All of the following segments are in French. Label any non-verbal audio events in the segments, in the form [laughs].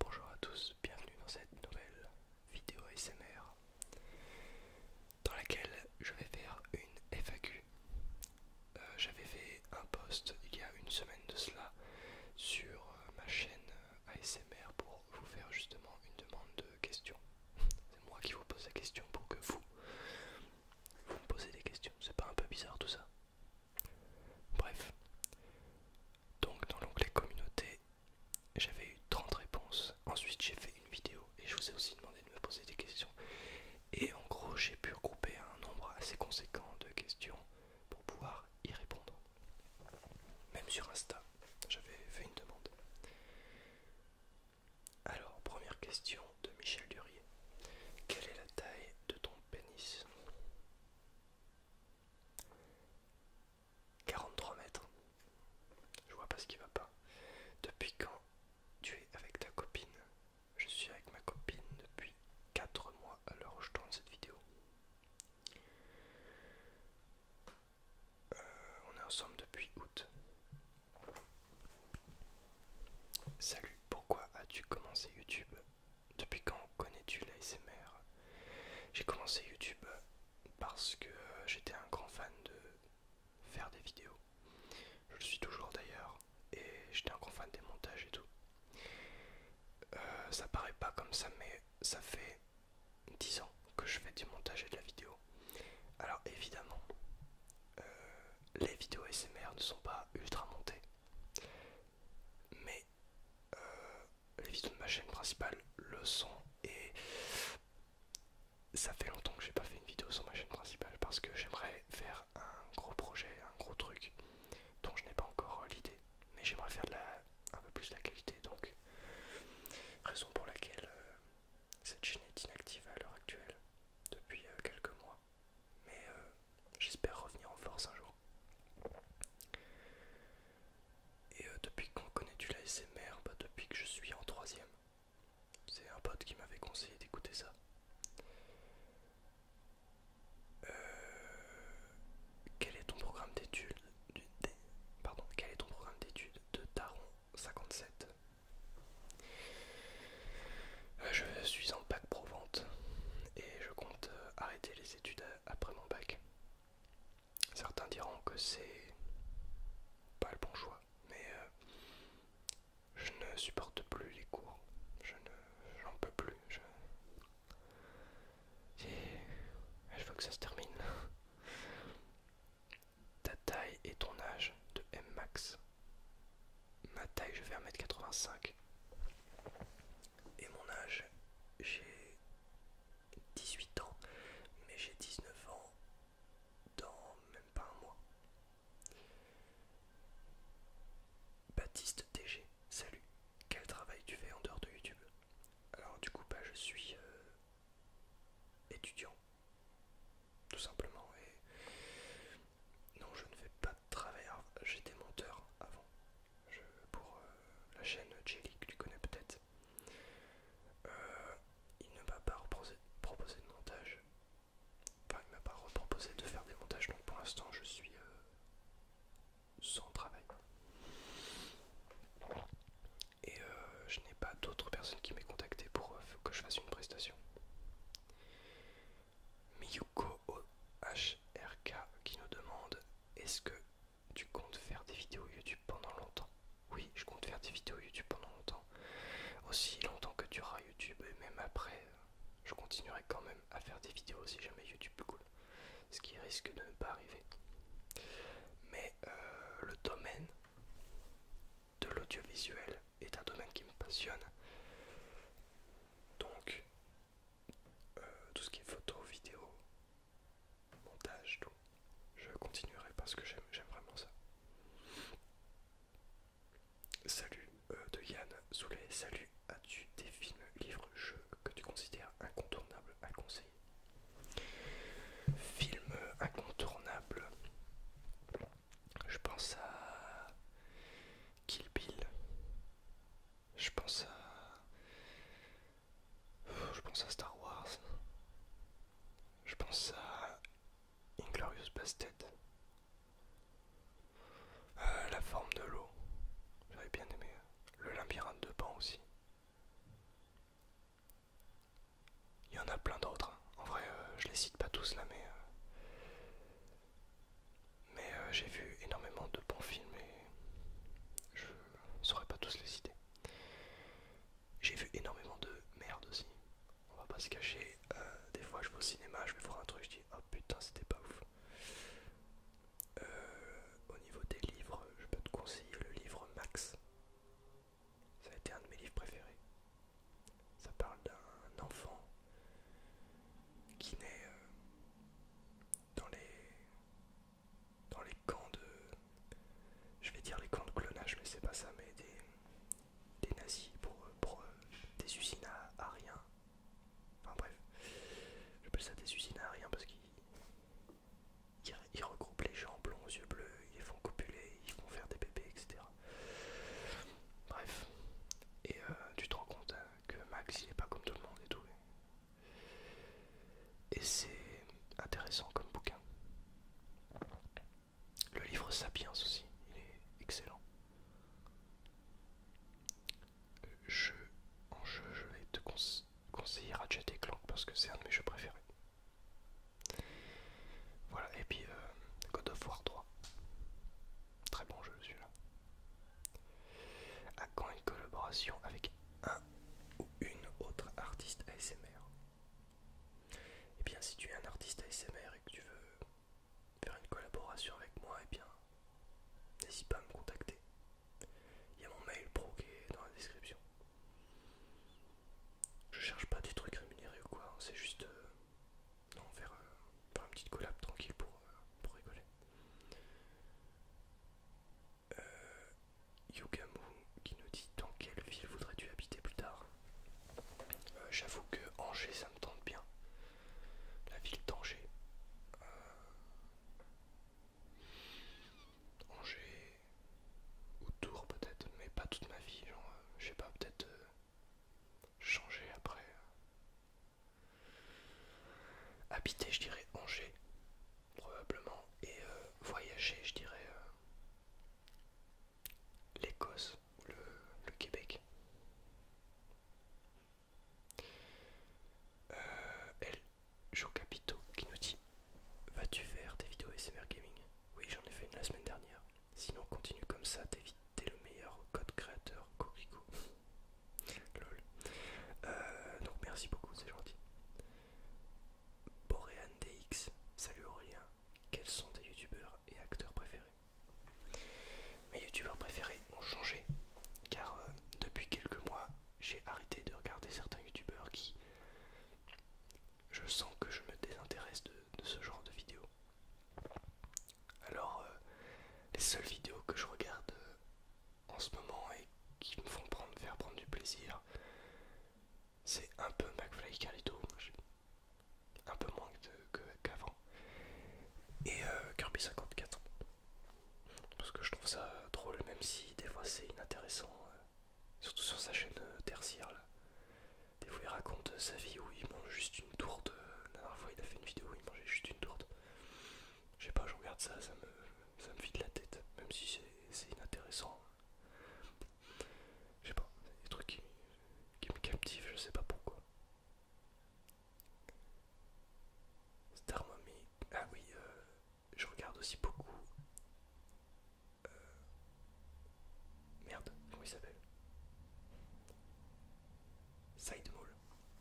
Bonjour à tous, bienvenue dans cette nouvelle vidéo ASMR dans laquelle je vais faire une FAQ. Euh, j'avais fait un post il y a une semaine de cela sur euh, ma chaîne ASMR pour vous faire justement une demande de questions. [laughs] C'est moi qui vous pose la question pour que vous, vous me posez des questions. C'est pas un peu bizarre tout ça Bref. Donc dans l'onglet communauté, j'avais eu 30 réponses. Ensuite j'ai fait une vidéo et je vous ai aussi demandé de me poser des questions. Et en gros j'ai pu regrouper un nombre assez conséquent de questions pour pouvoir y répondre. Même sur Insta, j'avais fait une demande. Alors, première question de Michel Durier. Quelle est la taille de ton pénis 43 mètres. Je vois pas ce qui va pas. Depuis quand tu es avec ta copine Je suis avec ma copine depuis 4 mois Alors, je tourne cette vidéo. Euh, on est ensemble depuis août. Salut, pourquoi as-tu commencé YouTube depuis quand connais-tu l'ASMR J'ai commencé YouTube parce que j'étais un grand fan de faire des vidéos. Je le suis toujours d'ailleurs et j'étais un grand fan des montages et tout. Euh, ça paraît pas comme ça mais ça fait 10 ans que je fais du montage et de la vidéo. Alors évidemment, euh, les vidéos SMR ne sont pas ultra montées. Mais euh, les vidéos de ma chaîne principale le sont et ça fait longtemps que j'ai pas fait une vidéo sur ma chaîne principale parce que j'aimerais faire un gros projet, un gros truc dont je n'ai pas encore l'idée mais j'aimerais faire de la, un peu plus de la qualité donc raison pour laquelle euh, cette chaîne est inactive à l'heure actuelle depuis euh, quelques mois mais euh, j'espère revenir en force un jour et euh, depuis qu'on connaît du l'ASMR, bah, depuis que je suis en troisième, c'est un pote qui m'avait conseillé d'écouter ça. Euh, quel est ton programme d'études Pardon, quel est ton programme d'études de Taron 57 euh, Je suis en bac pro et je compte arrêter les études à euh, après mon bac. Certains diront que c'est pas le bon choix, mais euh, je ne supporte plus les cours. Je ne, j'en peux plus. Je... veux que ça se termine. Ta taille et ton âge de M max. Ma taille, je fais 1m85 et mon âge. J'ai 18 ans, mais j'ai 19 ans dans même pas un mois. Baptiste TG, salut. Quel travail tu fais en dehors de YouTube Alors du coup, bah, je suis euh, étudiant, tout simplement. Et non, je ne fais pas de travail. J'étais monteur avant, pour euh, la chaîne Jelly que tu connais peut-être. Euh, il ne m'a pas proposé de montage. Enfin, il m'a pas proposé de faire des montages, donc pour l'instant je suis euh, sans travail. Et je n'ai pas d'autres personnes qui m'aient contacté pour que je fasse une prestation. Miyuko HRK qui nous demande est-ce que tu comptes faire des vidéos YouTube pendant longtemps Oui, je compte faire des vidéos YouTube pendant longtemps. Aussi longtemps que tu auras YouTube et même après, euh, je continuerai quand même à faire des vidéos si jamais YouTube cool. Ce qui risque de ne pas arriver. Mais euh, le domaine de l'audiovisuel est un domaine qui me passionne. Donc euh, tout ce qui est photo, vidéo, montage, tout. Je continuerai parce que j'aime vraiment ça. Salut euh, de Yann Soulet, salut, as-tu des films, livres, jeux que tu considères incontournables à conseiller Films incontournable, je pense à Kill Bill, je pense à. Je pense à Star Wars. Je pense à. Inglorious Bastet, euh, la forme de l'eau. J'avais bien aimé. Le labyrinthe de Pan aussi. Il y en a plein d'autres. Hein. En vrai, je euh, je les cite pas tous là, mais. Euh, mais euh, j'ai vu énormément de bons films et je saurais pas tous les citer. J'ai vu énormément de merde aussi. On va pas se cacher. Euh, des fois, je vais au cinéma, je vais voir un truc, je dis oh putain, c'était pas ouf. Euh, au niveau des livres, je peux te conseiller le livre Max. Ça a été un de mes livres préférés. Ça parle d'un enfant qui naît dans les dans les camps de je vais dire les camps de clonage mais c'est pas ça mais des, des nazis pour, euh, des usines à, rien enfin bref je peux ça des usines à rien parce qu'ils regroupent les gens blonds aux yeux bleus ils les font copuler ils font faire des bébés etc bref et euh, tu te rends compte euh, que Max il est pas comme tout le monde et tout et c'est intéressant comme bouquin. Le livre Sapiens aussi, il est excellent. en jeu, je vais te conseiller Ratchet et Clank parce que c'est un de mes jeux préférés. Voilà, et puis euh, God of War 3. Très bon jeu celui-là. À quand une collaboration avec un ou une autre artiste ASMR Eh bien, si tu es un artiste ASMR et que tu veux faire une collaboration avec moi, eh bien, n'hésite pas à me contacter. Il y a mon mail pro qui est dans la description. Je cherche pas des trucs rémunérés ou quoi, hein. c'est juste. Euh, non, faire, euh, faire une petite collab tranquille pour, euh, pour rigoler. Euh, qui nous dit dans quelle ville voudrais-tu habiter plus tard euh, J'avoue que Angers ça me tente bien. La ville d'Angers. Euh, Angers ou peut-être, mais pas toute ma vie. Genre, euh, je sais pas, peut-être changer après. Habiter, je dirais Angers, probablement, et euh, voyager, je dirais euh, l'Écosse ou le, Québec. Euh, elle, Jean Capito, qui nous dit Vas-tu faire des vidéos SMR Gaming Oui, j'en ai fait une la semaine dernière. Sinon, continue comme ça, t'es le meilleur code créateur, Corico. Lol. Euh, donc merci beaucoup, c'est gentil. Boréan DX, salut Aurélien. Quels sont tes youtubeurs et acteurs préférés Mes youtubeurs préférés ont changé car euh, depuis quelques mois j'ai arrêté de regarder certains youtubeurs qui je sens que je me désintéresse de, ce genre de vidéos. Alors euh, les seules vidéos que je regarde en ce moment et qui me font prendre, faire prendre du plaisir, c'est un peu McFly Carlito, un peu moins qu'avant, et euh, Kirby 54, parce que je trouve ça drôle, même si des fois c'est inintéressant, euh, surtout sur sa chaîne euh, tertiaire. Là. Des fois il raconte sa vie où il mange juste une tourte. La dernière fois il a fait une vidéo où il mangeait juste une tourte. Je sais pas, je regarde ça, ça me, ça me vide la tête, même si c'est inintéressant. Je sais pas, des trucs qui, me captivent, je sais pas pourquoi. Star ah oui, euh, je regarde aussi beaucoup. Euh, merde, comment il s'appelle Side Mall.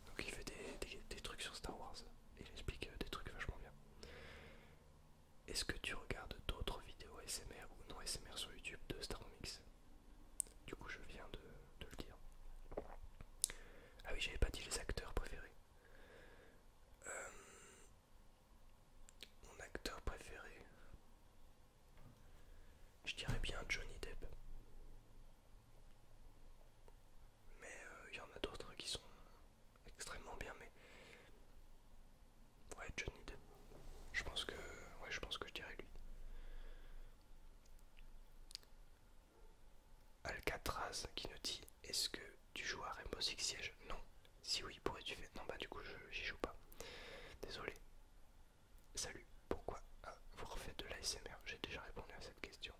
Donc il fait des, trucs sur Star Wars. Il explique euh, des trucs vachement bien. Est-ce que tu regardes d'autres vidéos SMR ou non SMR sur YouTube de Star Comics Du coup, je viens de, le dire. Ah oui, j'avais pas dit les acteurs préférés. Euh, mon acteur préféré, je dirais bien Johnny Depp mais il euh, y en a d'autres hein, qui sont extrêmement bien. Mais ouais, Johnny Depp. Je pense que, ouais, je pense que je dirais lui. Alcatraz qui nous dit est-ce que tu joues à Rainbow Six Siege Non. Si oui, pourrais-tu faire Non, bah du coup, je j'y joue pas. Désolé. Salut. Pourquoi hein, vous refaites de l'ASMR J'ai déjà répondu à cette question.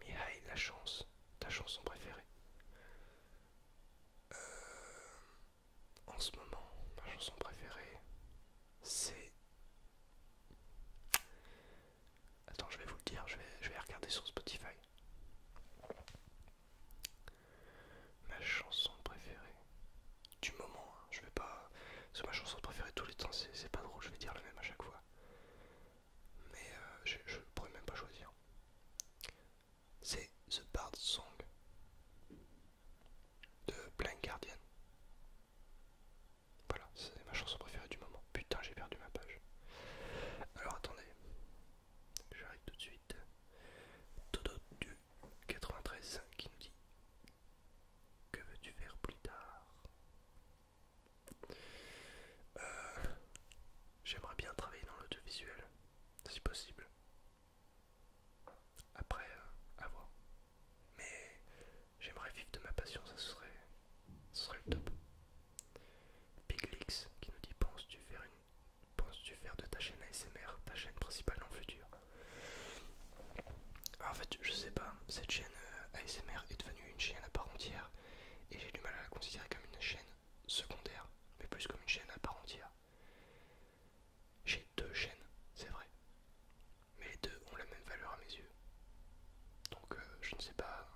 Mihaï, La Chance, ta chanson préférée. Euh, en ce moment, ma chanson préférée, c'est... Attends, je vais vous le dire, je vais, je vais regarder sur Spotify. Ma chanson préférée, du moment. Hein. Je vais pas. C'est ma chanson préférée tous les temps, c'est pas drôle, je vais dire le même à chaque fois. Mais euh, je, ne pourrais même pas choisir. C'est The Bard Song de Blind Guardian. Voilà, c'est ma chanson préférée du moment. Putain, j'ai perdu ma page. Alors attendez, j'arrive tout de suite. Dodo du 93 qui nous dit que veux-tu faire plus tard euh, J'aimerais bien travailler dans l'audiovisuel, si possible. Après, euh, à voir. Mais j'aimerais vivre de ma passion, ça serait, serait le top. Piglix qui nous dit penses-tu faire une, penses-tu faire de ta chaîne ASMR ta chaîne principale dans le futur ah, en fait, je sais pas, cette chaîne euh, ASMR est devenue une chaîne à part entière et j'ai du mal à la considérer comme une chaîne secondaire, mais plus comme une chaîne à part entière. J'ai deux chaînes, c'est vrai, mais les deux ont la même valeur à mes yeux. Donc euh, je ne sais pas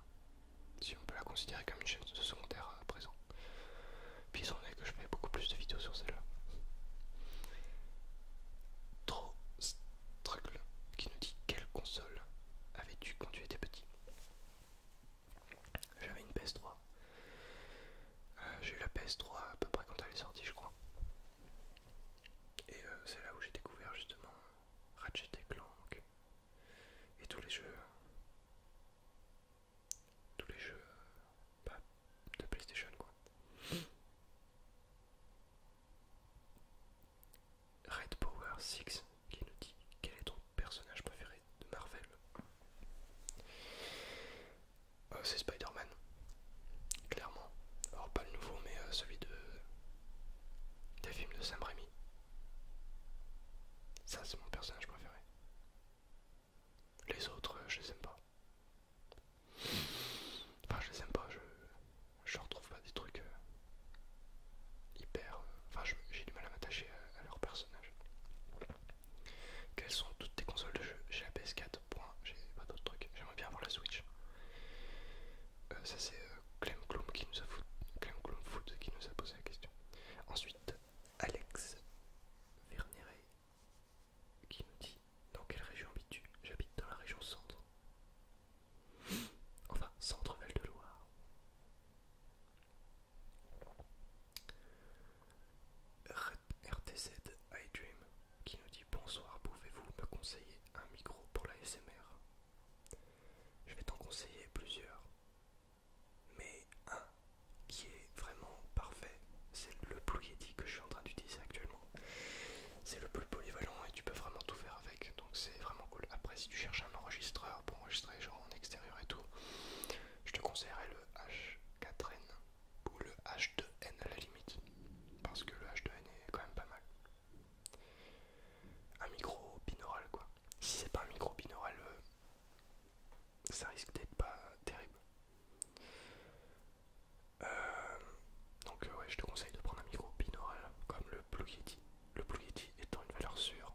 si on peut la considérer comme une chaîne secondaire à présent. Puis s'en est que je fais beaucoup plus de vidéos sur celle-là. Trop là qui nous dit quelle console avais-tu quand tu étais petit J'avais une PS3. Euh, j'ai eu la PS3 à peu près quand elle est sortie, je crois. Et euh, c'est là où j'ai découvert justement Ratchet Clank et tous les jeux. Tous les jeux euh, bah, de PlayStation quoi. Red Power 6 qui nous dit quel est ton personnage préféré de Marvel euh, C'est Spider-Man, clairement. Alors pas le nouveau mais euh, celui de des films de Sam Raimi. Ça c'est mon personnage préféré. Les autres, euh, je les aime pas. Enfin, je les aime pas, je, retrouve pas des trucs euh, hyper. Euh, enfin, j'ai du mal à m'attacher à, leur personnage. Quelles sont toutes tes consoles de jeu J'ai la PS4, j'ai pas d'autres trucs. J'aimerais bien avoir la Switch. Euh, ça, c'est Clem qui nous a qui nous a posé la question. Ensuite, Alex Verneret qui nous dit dans quelle région habites-tu J'habite dans la région centre. [gasps] Enfin, centre-val de Loire. RTZ iDream qui nous dit bonsoir, pouvez-vous me conseiller un micro pour la SMR Je vais t'en conseiller plusieurs, mais un qui est vraiment parfait, c'est le Blue Yeti que je suis en train d'utiliser actuellement. C'est le plus polyvalent et tu peux vraiment tout faire avec, donc c'est vraiment cool. Après, si tu cherches un enregistreur pour enregistrer genre en extérieur et tout, je te conseillerais le H4N ou le H2N à la limite, parce que le H2N est quand même pas mal. Un micro binaural quoi. Si c'est pas un micro binaural, euh, ça risque d'être pas terrible. Euh, donc euh, ouais, je te conseille de prendre un micro binaural comme le Blue Yeti. Le Blue Yeti étant une valeur sûre,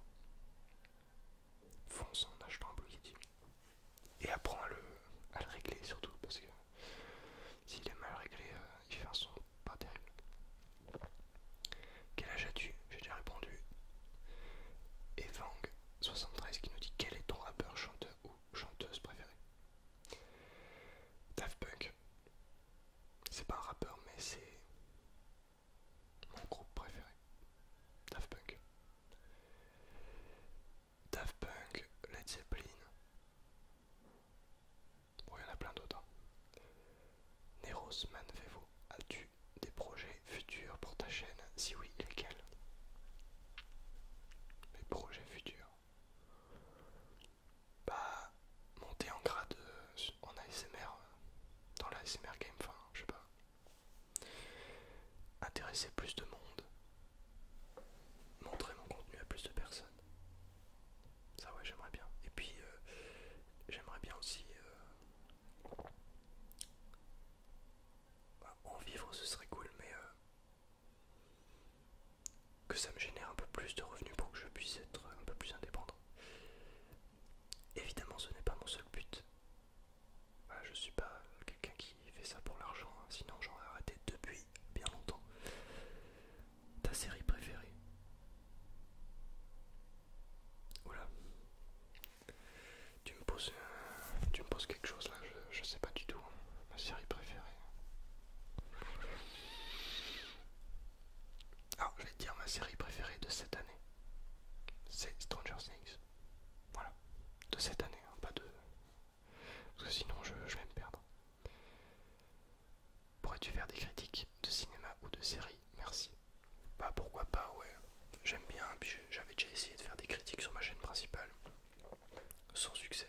fonce en achetant un Blue Yeti. Et apprends à le, à régler surtout parce que s'il est mal réglé, il euh, fait son pas terrible. Quel âge as-tu J'ai déjà répondu. evang 73 qui nous dit quel est ton rappeur, chanteur ou chanteuse préféré Daft Punk. C'est pas un rappeur, mais c'est mon groupe préféré. Daft Punk. Daft Punk, Led Zeppelin. Bon, il y en a plein d'autres. Hein. Neros Manvevo, as-tu des projets futurs pour ta chaîne Si oui, lesquels Mes projets futurs bah, monter en grade euh, en ASMR, euh, dans l'ASMR game, enfin, je sais pas, intéresser plus de monde, montrer mon contenu à plus de personnes. Ça, ouais, j'aimerais bien. Et puis, euh, j'aimerais bien aussi bah, en vivre, ce serait cool, mais que ça me génère un peu plus de revenus pour que je puisse être un peu plus indépendant. Évidemment, ce n'est pas mon seul but. je je suis pas quelqu'un qui fait ça pour l'argent, hein. sinon j'aurais arrêté depuis bien longtemps. Ta série préférée Oula. Tu me poses, euh, tu me quelque chose là, je, je sais pas du tout. Hein. Ma série préférée. Alors, ah, je vais te dire ma série préférée de cette année. C'est Stranger Things. Voilà. De cette année, hein, pas de... Parce que sinon, je, je vais me perdre. Pourrais-tu faire des critiques de cinéma ou de série Merci. Bah pourquoi pas, ouais. J'aime bien, puis j'avais déjà essayé de faire des critiques sur ma chaîne principale. Sans succès.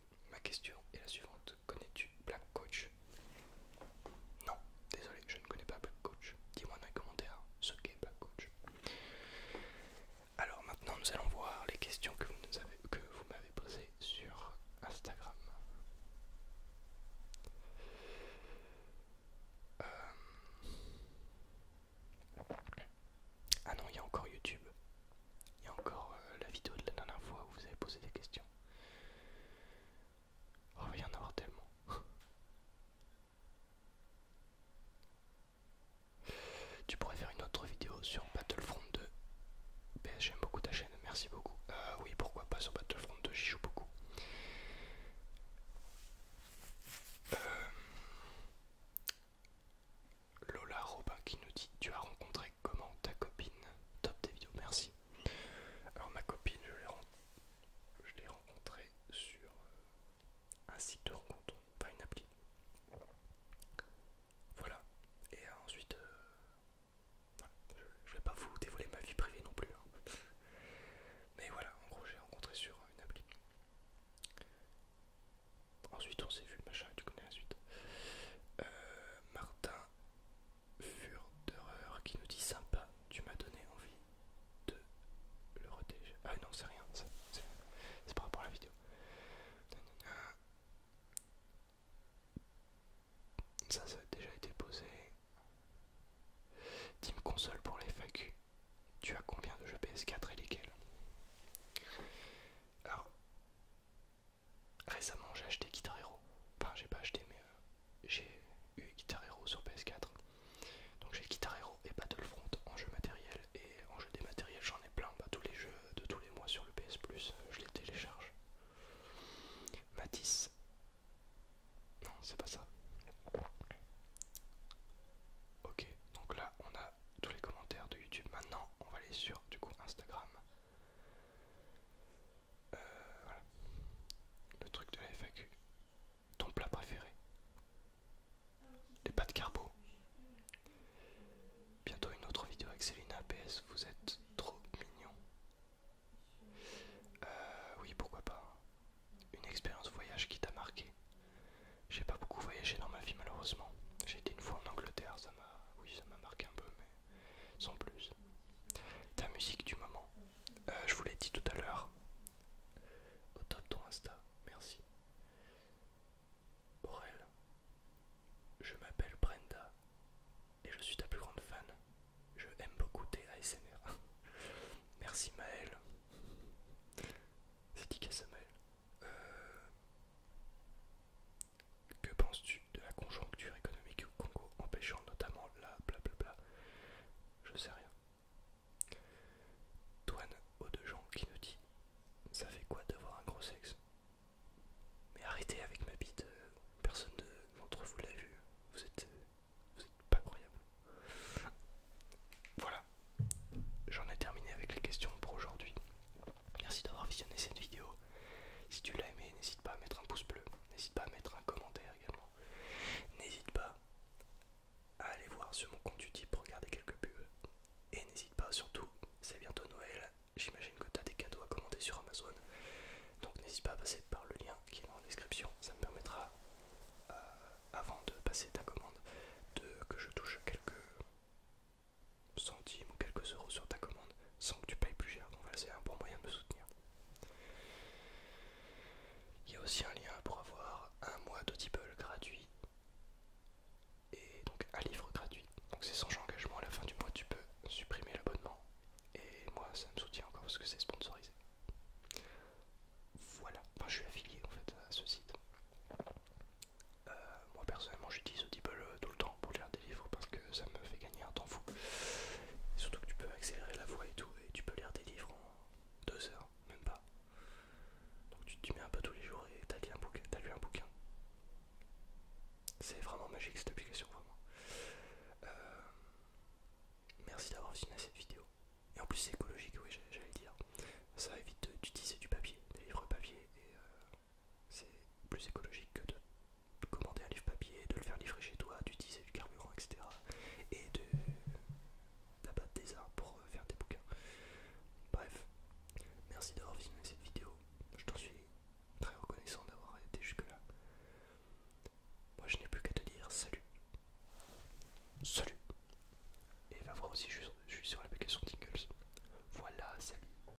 ma question est la suivante. Connais-tu Black Coach Non, désolé, je ne connais pas Black Coach. Dis-moi dans les commentaires ce qu'est Black Coach. Alors maintenant, nous allons voir les questions que vous m'avez posées sur Instagram. Euh, ah non, il y a encore YouTube. Il y a encore euh, la vidéo de la dernière fois où vous avez posé des questions. Oh, il y en tellement. [laughs] tu pourrais faire une autre vidéo sur Battlefront 2. Ben, j'aime beaucoup ta chaîne, merci beaucoup. Euh, oui, pourquoi pas sur Battlefront 2, j'y joue beaucoup. Euh, Lola Robin qui nous dit Tu as rencontré comment ta copine top des vidéos, merci. Alors ma copine, je l'ai rencontrée sur euh, un site de rencontre, pas une appli. Voilà. Et euh, ensuite, euh, je vais pas vous dévoiler ma vie privée non plus. Hein. Mais voilà, en gros, j'ai rencontré sur une appli. Ensuite, on s'est vu, le machin, tu connais la suite. Martin d'erreur qui nous dit sympa, tu m'as donné envie de le retéger Ah non, c'est rien, c'est par rapport à la vidéo. Ça, ça a déjà été posé. Team console pour les FAQ. Tu as combien de jeux PS4 et lesquels Alors, Récemment, j'ai acheté Guitar Hero. Enfin, j'ai pas acheté, mais euh, j'ai eu Guitar Hero sur PS4. Donc j'ai Guitar Hero et Battlefront en jeu matériel. Et en jeu dématériel, j'en ai plein. Bah, tous les jeux de tous les mois sur le PS Plus, euh, je les télécharge. Matisse. Non, c'est pas ça. Ok, donc là, on a tous les commentaires de YouTube. Maintenant, on va aller sur du coup Instagram. Euh, Le truc de la FAQ. Ton plat préféré. Les pâtes carbo. Bientôt une autre vidéo avec Selina APS. Vous êtes trop mignon. Euh, oui, pourquoi pas. Hein. Une expérience voyage qui t'a marqué. J'ai pas beaucoup voyagé dans ma vie malheureusement. J'ai été une fois en Angleterre, ça m'a, oui, ça m'a marqué un peu, mais sans plus. Ta musique du moment, euh, je vous l'ai dit tout à l'heure, au top ton Insta, merci. Aurel, je m'appelle Brenda et je suis ta plus grande fan. Je aime beaucoup tes ASMR. [laughs] merci Maël. C'est qui Maël euh, que penses-tu de la conjoncture économique au Congo empêchant notamment la blablabla Je sais rien. Douane aux deux gens qui nous dit Ça fait quoi d'avoir un gros sexe Mais arrêtez avec ma bite, euh, personne d'entre vous l'a vu, vous êtes, euh, vous pas croyable. Voilà, j'en ai terminé avec les questions pour aujourd'hui. Merci d'avoir visionné cette vidéo. Si tu l'as aimé, n'hésite pas à mettre un pouce bleu, n'hésite pas à mettre un commentaire également. N'hésite pas à aller voir sur mon compte YouTube, regarder quelques pubs. Et n'hésite pas surtout, c'est bientôt Noël, j'imagine que tu as des cadeaux à commander sur Amazon. Donc n'hésite pas à passer par le lien qui est dans la description, ça me permettra, euh, avant de passer ta commande, de, que je touche quelques centimes ou quelques euros sur ta commande sans que tu payes plus cher. Donc c'est un bon moyen de me soutenir. Il y a aussi un lien pour avoir un mois d'Audible gratuit et donc un livre gratuit. Donc c'est sans engagement, à la fin du mois tu peux supprimer l'abonnement et moi ça me soutient encore parce que c'est sponsorisé. Voilà, enfin, je suis affilié en fait à ce site. Euh, moi personnellement j'utilise Audible euh, tout le temps pour lire des livres parce que ça me fait gagner un temps fou. surtout que tu peux accélérer la voix et tout et tu peux lire des livres en deux heures, même pas. Donc tu te mets un peu tous les jours et t'as lu un bouquin. un bouquin. C'est vraiment magique cette application, vraiment. Euh, merci d'avoir filmé cette vidéo. Et en plus c'est écologique, oui j'allais dire. Ça évite d'utiliser du papier, des livres papier et euh, c'est plus écologique que de commander un livre papier, de le faire livrer chez toi, d'utiliser du carburant, etc. Et de d'abattre des arbres pour euh, faire des bouquins. Bref, merci d'avoir visionné cette vidéo. Je t'en suis très reconnaissant d'avoir été jusque-là. Moi, je n'ai plus qu'à te dire salut. Salut. Et va voir aussi, je suis sur l'application Tingles. Voilà, salut.